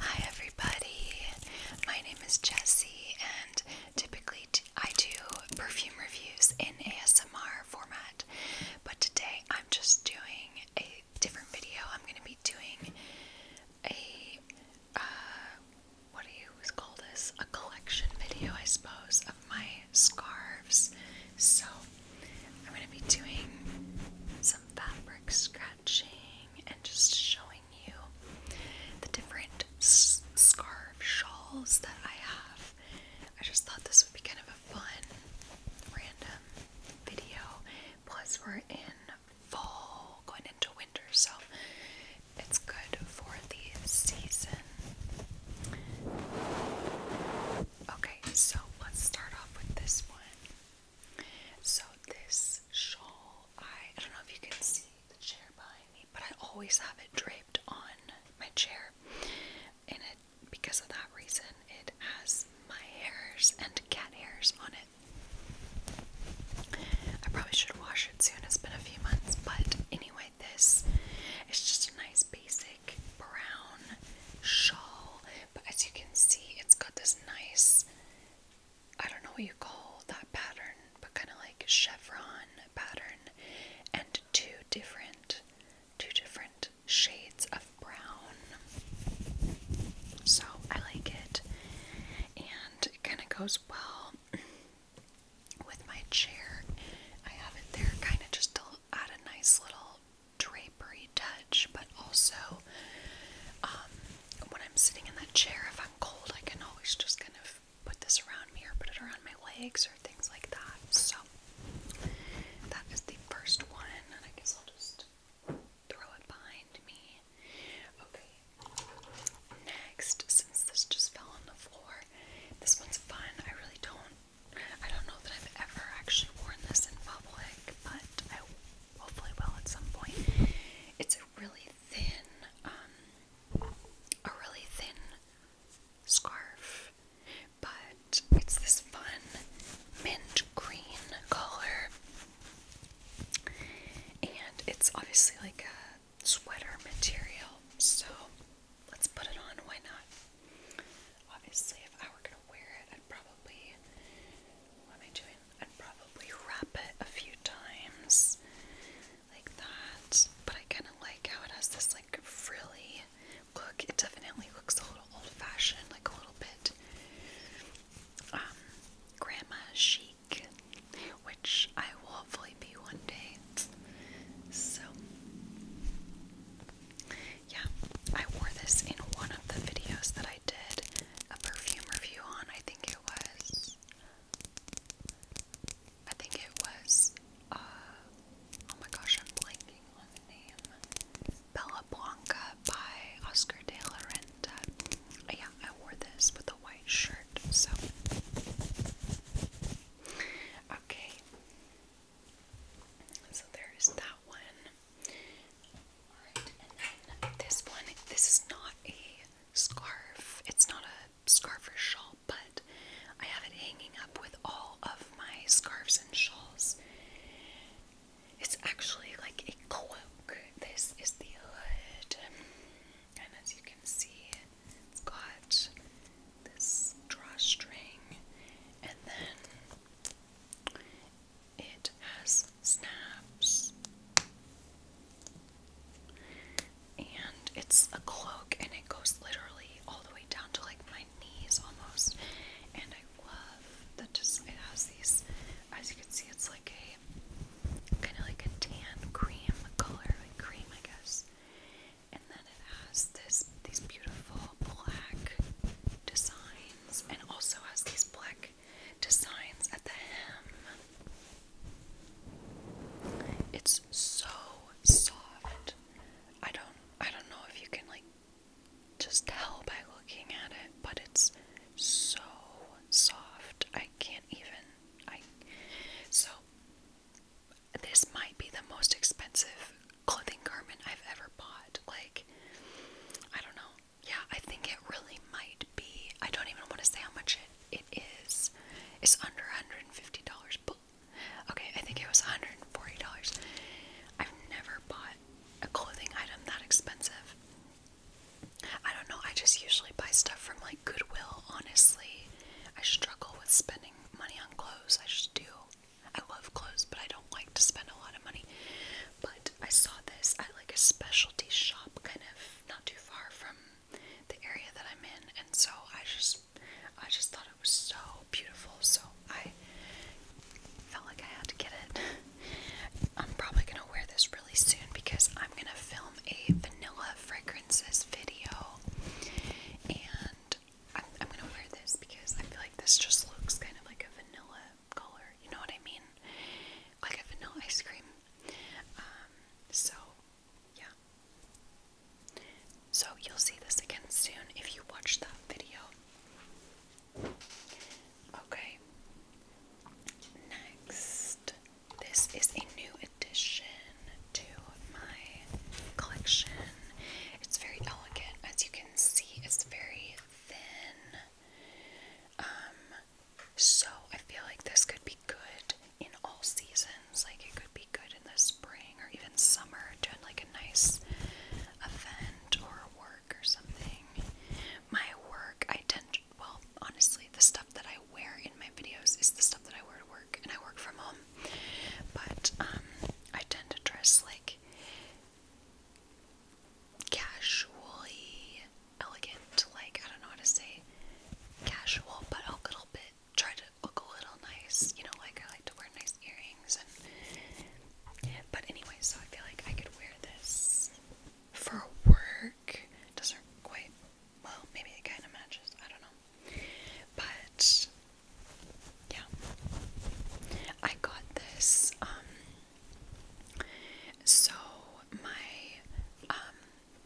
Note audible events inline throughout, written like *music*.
Hi, everybody. My name is Jessie, and typically I do perfume reviews in ASMR format, but today I'm just doing a different video. I'm going to be doing a uh, what do you call this? A collection video, I suppose, of my scarves. So I'm going to be doing. So fabric scratching and just showing you the different s scarf shawls that I have. I just thought this would be kind of a fun, random video. Plus, we're in fall, going into winter, so it's good for the season. Okay, so let's start off with this one. So this shawl, I, don't know if you can see the chair behind me, but I always have it draped on my chair. And it because of that reason it has my hairs and cat hairs on it. I probably should wash it soon, it's been a few months, but anyway, this is just a nice basic brown shawl, but as you can see, it's got this nice I don't know what you call that pattern, but kind of like chevron pattern, and two different, two different shades of brown. So I like it, and it kind of goes well *clears throat* with my chair. I have it there, kind of just a add a nice little drapery touch, but also um, when I'm sitting in that chair, if I'm cold, I can always just kind of put this around me or put it around my legs or things like that. So that is the first one, and I guess I'll just throw it behind me. Okay. Next, since this just fell on the floor, this one's fun. I really don't I don't know that I've ever actually worn this in public, but I hopefully will at some point. It's a really thin, um, a really thin scarf, but it's this fun mint green color, and it's obviously like a sweater material, so let's put it on. Why not? Obviously, if I were gonna wear it, I'd probably what am I doing? I'd probably wrap it a few times like that. But I kind of like how it has this like frilly look. It definitely looks a little old-fashioned, like a little bit um grandma chic, which I will hopefully be one day. So yeah, I wore this in one of the videos that I did a perfume review on. I think it was. I think it was. Uh, oh my gosh, I'm blanking on the name. Bella Blanca by Oscar de la Renta. Yeah, I wore this with a white shirt, so. Okay. So there's that one. this one. This is not a scarf. It's not a scarf or shawl, but I have it hanging up with all of my scarves and shawls. It's actually like a cloak. This is the hood. And as you can see, it's got this drawstring, and then it has snaps. And it's a cloak, and it goes literally all the way down to like my knees almost. And I love that just it has these, as you can see, it's like a kind of like a tan cream color, like cream, I guess and then it has this these beautiful black designs and also has these black designs at the hem. It's so soft. I don't I don't know if you can like just tell by looking at it, but it's so soft. I can't even I so this might be the most expensive clothing garment I've ever bought. Like, I don't know. Yeah, I think it really might be. I don't even want to say how much it, it is. It's under $150. But, okay, I think it was $140. I've never bought a clothing item that expensive. I don't know. I just usually buy stuff from like Goodwill, honestly. I struggle with spending money on clothes. I just do. I love clothes, but I don't like to spend a lot of money. But I saw this at like a specialty shop, kind of not too far from the area that I'm in, and so I just, I just thought it was so beautiful. So I felt like I had to get it. *laughs* I'm probably gonna wear this really soon because I'm gonna film a vanilla fragrances video, and I'm, gonna wear this because I feel like this just looks kind of like a vanilla color, you know what I mean? Like a vanilla ice cream. Um, so, yeah. So, you'll see this again soon if you watch that video. Okay. Next, this is a new edition to my collection. It's very elegant, as you can see, it's very thin. Um, so I feel like this could be good in all seasons. Like it could be good in the spring or even summer doing like a nice event or work or something. My work, I tend to, well, honestly, the stuff that I I wear in my videos is the stuff that I wear to work, and I work from home. But um, I tend to dress like casually elegant, like I don't know how to say casual, but a little bit. Try to look a little nice, you know, like I like to wear nice earrings and. But anyway, so I feel like I could wear this for work. Doesn't quite. Well, maybe it kind of matches. I don't know. But yeah, I got this. Um, so my um,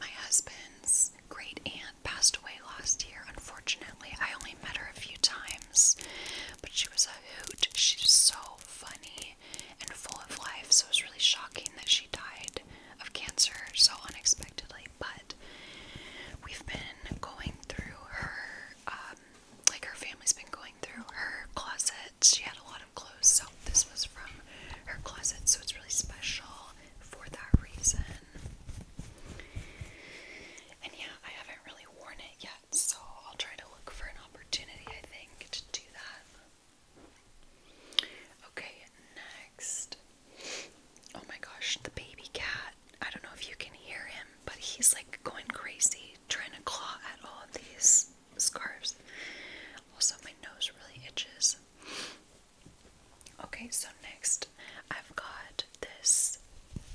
my husband's great aunt passed away last year. Unfortunately, I only met her a few times, but she was a hoot. She's so funny and full of life. So it was really shocking that she died of cancer so unexpectedly, but we've been going through her, um, like her family's been going through her closet. She had a lot of clothes, so this was from her closet, so it's really special for that reason. And yeah, I haven't really worn it yet, so I'll try to look for an opportunity, I think, to do that. Okay, next. Oh my gosh, the baby cat. I don't know if you can hear him, but he's like going crazy trying to claw at all of these scarves. Also, my nose really itches. Okay, so next I've got this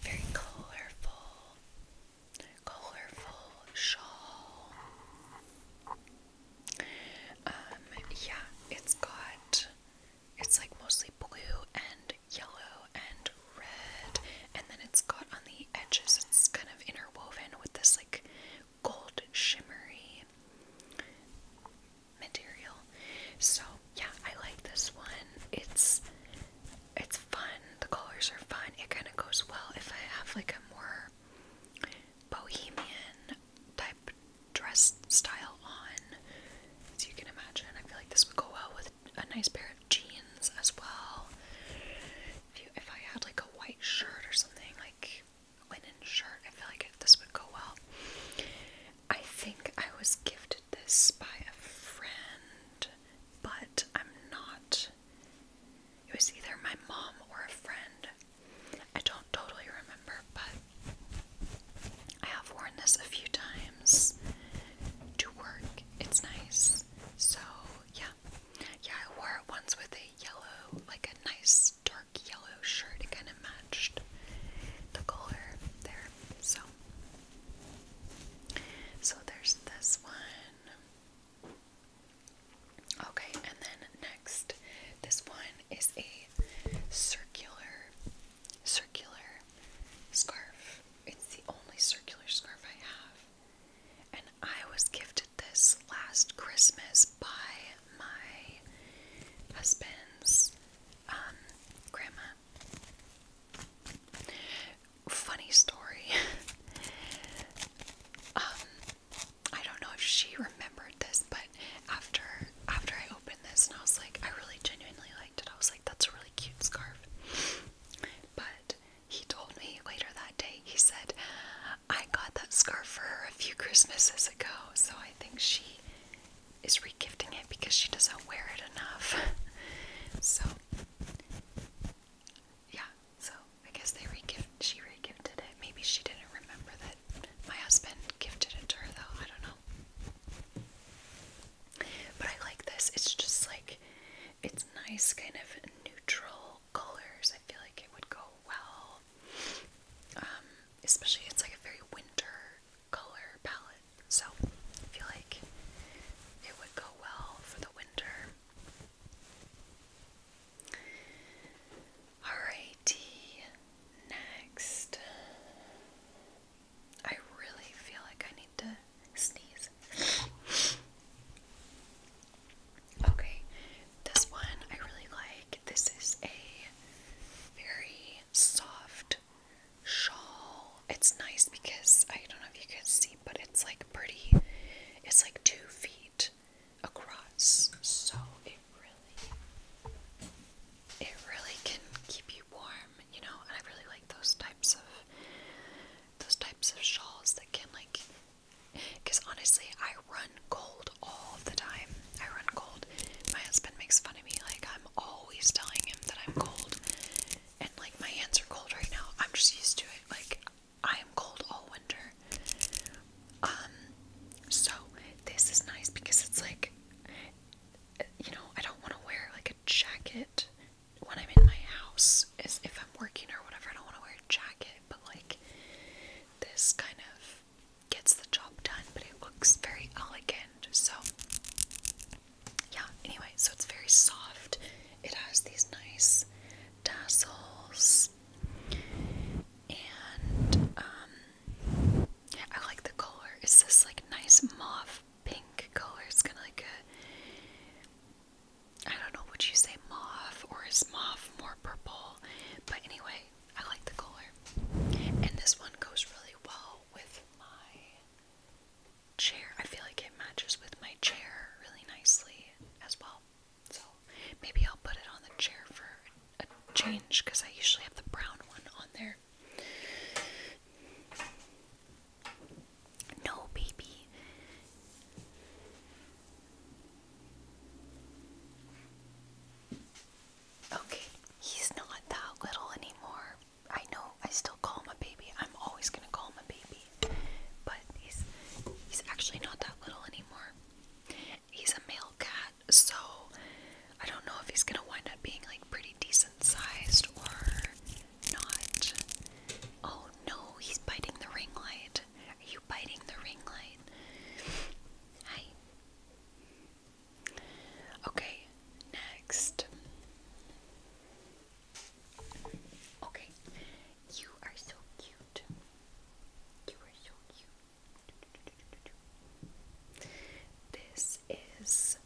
very colorful, colorful shawl. Um, yeah, it's got it's like mostly blue and yellow and red, and then it's got on the edges, it's kind of interwoven with this like gold shimmery material. So yeah, I like this one. It's it's fun. The colors are fun. It kind of goes well if I have like a more bohemian type dress style on. As you can imagine, I feel like this would go well with a nice pair of jeans as well. If, you, if I had like a white shirt or something, like linen shirt, I feel like this would go well. I think I was gifted this by a friend, but I'm not. It was either my mom or a friend. I don't totally remember, but I have worn this a few times to work. It's nice. So, yeah. Yeah, I wore it once with a yellow, like a nice dark yellow shirt. It kind of matched the color there. So, so there's this one. Okay, and then next, this one is a circular, circular scarf. It's the only circular scarf I have. And I was gifted this last Christmas by my husband's um, grandma. Funny story. *laughs* Um, I don't know if she remembered this, but after after I opened this and I was like, I really genuinely liked it. I was like, that's a really cute scarf. But he told me later that day, he said, I got that scarf for her a few Christmases ago, so I think she is regifting it because she doesn't wear it enough. *laughs* so yeah, so I guess they re-gift, she re-gifted it. Maybe she didn't remember that my husband gifted it to her though, I don't know. But I like this, it's just like, it's nice kind of neutral colors. I feel like it would go well. Um, especially it's like a very winter color palette. So I feel like it would go well for the winter. Alrighty, next. I really feel like I need to sneeze. okay, this one I really like. This is a very soft shawl. It's nice because I don't know if you can see, but it's like pretty. It's like two feet across. So it really it really can keep you warm, you know, and I really like those types of those types of shawls that can like because honestly I run cold all the time. I run cold. My husband makes fun of me like I'm always telling him that I'm cold and like my hands are cold right now. I'm just used to it. Like I am cold all winter. Um, so this is nice because it's like, you know, I don't want to wear like a jacket when I'm in my house. Is if I'm working or whatever, I don't want to wear a jacket. But like, this kind of gets the job done, but it looks very elegant. So yeah. Anyway, so it's very soft. It has these nice tassels. And um I like the color. It's this like nice mauve pink color. It's kinda like a I don't know, would you say mauve or is mauve more purple? But anyway, I like the color. And this one goes really well with my chair. I feel like it matches with my chair really nicely as well. So maybe I'll put it on the chair for a change because I usually have the brown one on there. No, baby. Okay, he's not that little anymore. I know I still call him a baby. I'm always gonna call him a baby but he's he's actually not that little anymore. He's a male cat, so I don't know if he's gonna wind up being like pretty decent sized or not. Oh no, he's biting the ring light. Are you biting the ring light? Hi. Okay, next. Okay, you are so cute. You are so cute. This is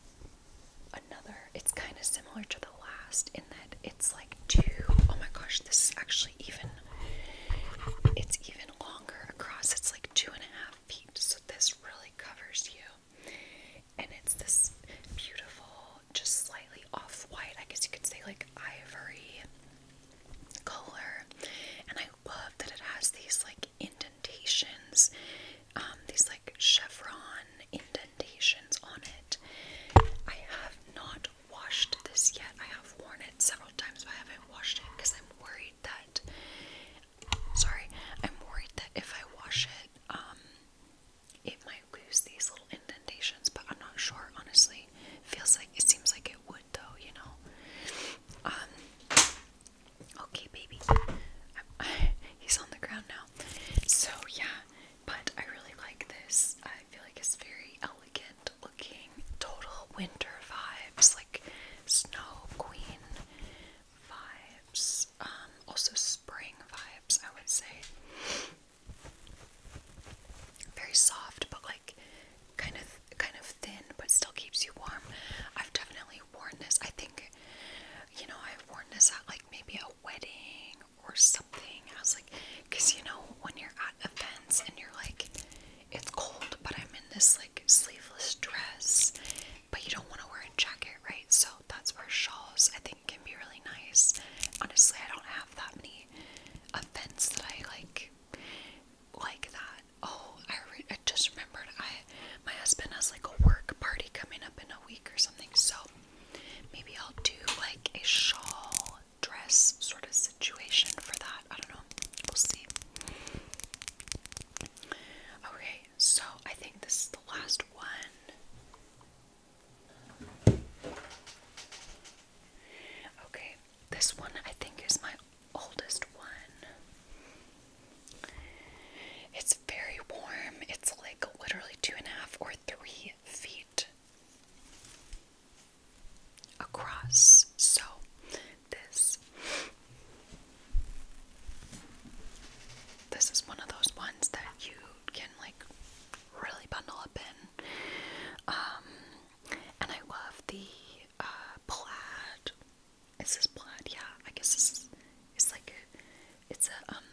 another, it's kind of similar to the last in that it's like two, oh my gosh, this is actually even, it's even longer across. It's like two and a half feet, so this really covers you. And it's this beautiful just slightly off white. I guess you could say like ivory color. And I love that it has these like indentations, um, these like chevron indentations on it. I have not washed this yet. I have worn it several times, but I haven't washed it because I'm worried that. Sorry, I'm worried that if I wash it, um, it might lose these little indentations, but I'm not sure, honestly. Feels like it seems like it would, though, you know. Um, okay, baby, *laughs* he's on the ground now, so yeah. But I really like this, I feel like it's very elegant looking, total winter vibes, like snow queen vibes, um, also spring vibes, I would say. Very soft, but like kind of kind of thin, but still keeps you warm. I've definitely worn this. I think, you know, I've worn this at like maybe a wedding or something. I was like, because you know, when you're at events and you're like, it's cold, but I'm in this like sleeveless dress, but you don't want to wear a jacket, right? So that's where shawls I think can be really nice. Honestly, I don't have that many events that I like like that. Oh, I just remembered I my husband has like a work party coming up in a week or something, so maybe I'll do like a shawl dress sort of situation for that. I don't know. We'll see. Okay, so I think this is the last one. Okay, this one I think is my oldest one. It's very warm. It's like literally two and a half or three feet across. So, this this is one of those ones that you can like really bundle up in. Um, and I love the uh, plaid. Is this plaid? Yeah, I guess this is. It's like a, it's a um,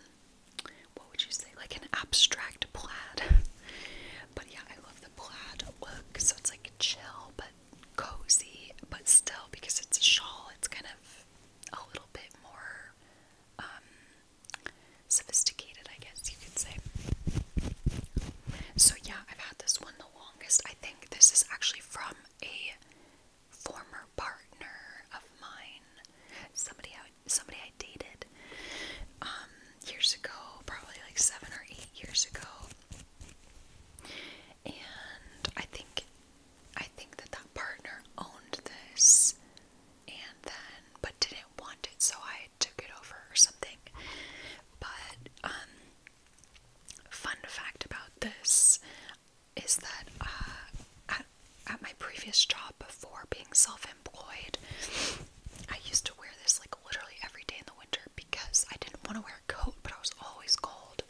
what would you say? Like an abstract plaid. *laughs* but yeah, I love the plaid look. So it's like chill but cozy, but still because it's a shawl, it's kind of a little bit more um, sophisticated, I guess you could say. So, yeah, I've had this one the longest. I think this is actually from a former partner of mine, somebody I, somebody I dated um, years ago, probably like seven or eight years ago. And I think I think that that partner owned this and then, but didn't want it, so I took it over or something. But, um, fun fact about this is that uh, at, at my previous job before being self employed, I used to wear this like literally every day in the winter because I didn't want to wear a coat, but I was always cold.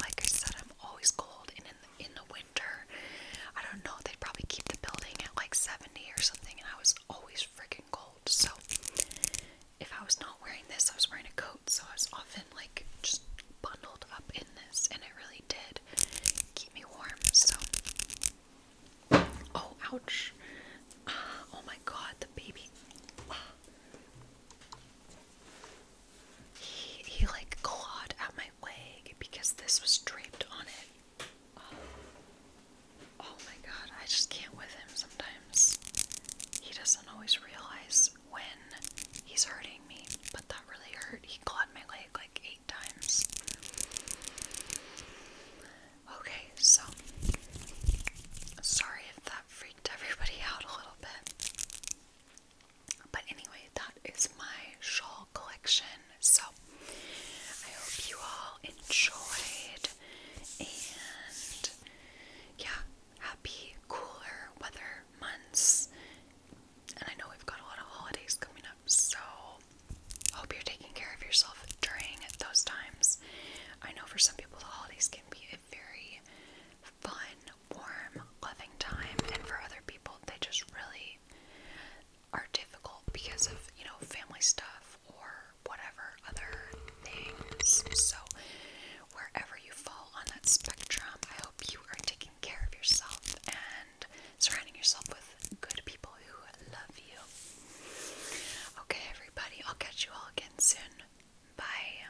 Like I said, I'm always cold, and in the, in the I don't know, they'd probably keep the building at like 70 or something, and I was always freaking cold. So, if I was not wearing this, I was wearing a coat, so I was often like just bundled up in this, and it really did keep me warm. So, oh, ouch! *sighs* oh my god, the baby he he like clawed at my leg because this was draped on it. Oh. oh. my god, I just can't with him sometimes. He doesn't always realize when he's hurting me, but that really hurt. He clawed my leg like eight times. Okay, so sorry if that freaked everybody *laughs* out a little bit. But anyway, that is my shawl collection. So I hope you all enjoyed and yeah, happy cooler weather months. And I know we've got a lot of holidays coming up, so hope you're taking care of yourself during those times. I know for some people the holidays can be a very fun warm, loving time, and for other people, they just really are difficult because of, you know, family stuff or whatever other things. So, wherever you fall on that spectrum, I hope you are taking care of yourself and surrounding yourself with good people who love you. Okay, everybody, I'll catch you all again soon. Bye.